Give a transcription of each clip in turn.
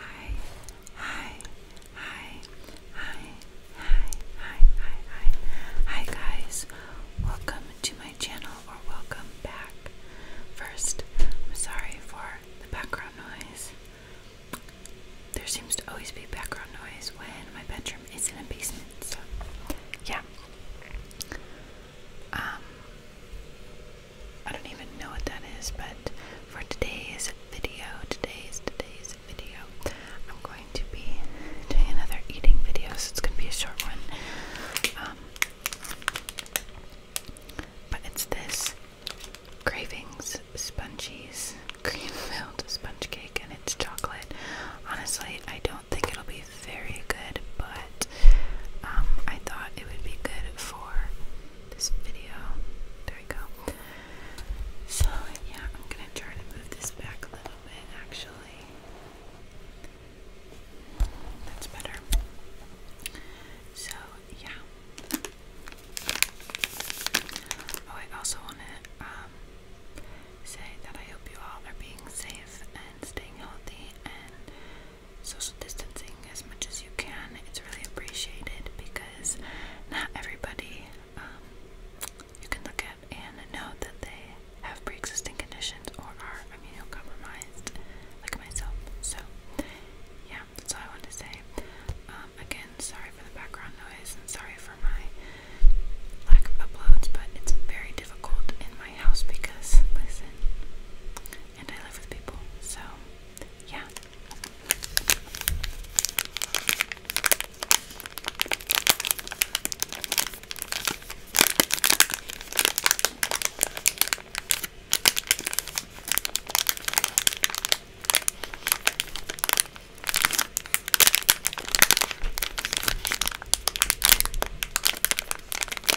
Hi, hi, hi, hi, hi, hi, hi, hi, hi, guys. Welcome to my channel, or welcome back. First, I'm sorry for the background noise. There seems to always be background noise when my bedroom is in a basement, so yeah. Um, I don't even know what that is, but for today's video, today's, today's video, I'm going to be doing another eating video, so it's going to be a short one. Um, but it's this Cravings spongy's cream filled sponge cake, and it's chocolate. Honestly, I don't think it'll be very good, but um, I thought it would be good for this video. There we go. So, yeah, I'm gonna try to move this back a little bit actually. That's better. So, yeah. Oh, I also want to um, say that I hope you all are being safe and staying healthy and social distancing as much as you can. It's really appreciated because not everybody um, you can look at and know that they have pre existing conditions or are immunocompromised, like myself. So, yeah, that's all I want to say. Um, again, sorry for the background noise and sorry for my lack of uploads, but it's very difficult in my house because, listen, and I live with people, so yeah.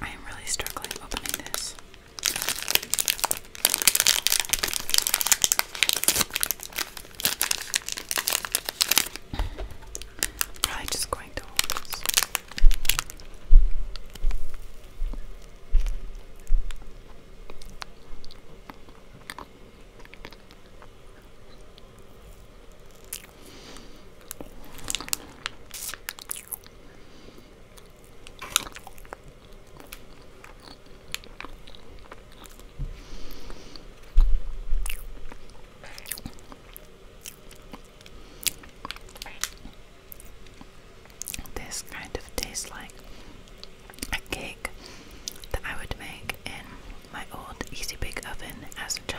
I am really struggling opening this. Probably just going to hold this. This kind of tastes like a cake that I would make in my old easy bake oven as a child.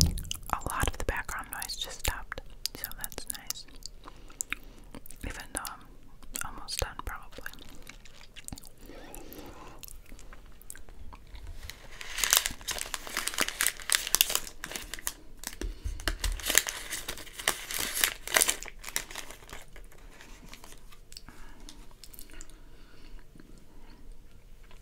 a lot of the background noise just stopped, so that's nice. Even though I'm almost done, probably.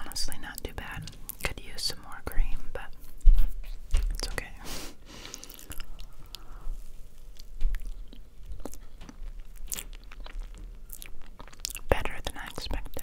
Honestly, not too bad. Could use some more cream, but it's okay. Better than I expected.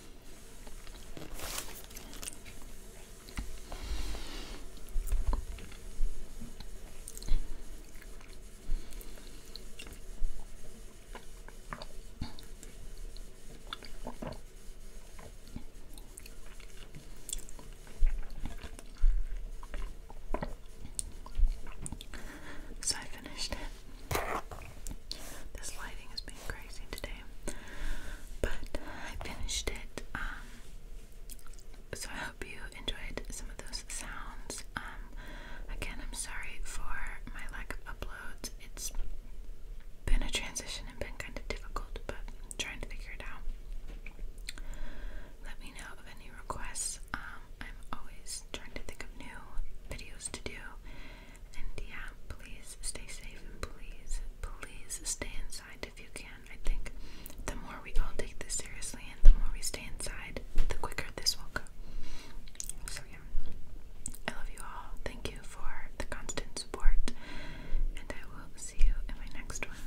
So I finished it. This lighting has been crazy today. But I finished it. Um, so I hope you enjoyed some of those sounds. Um, again, I'm sorry for my lack of uploads. It's been a transition and been kind of difficult, but I'm trying to figure it out. Let me know of any requests. Um, I'm always trying to think of new videos to do. And yeah, please stay safe and please, please stay inside if you can. I think the more we all take this seriously and the more we stay inside, the quicker this will go. So yeah, I love you all. Thank you for the constant support, and I will see you in my next one.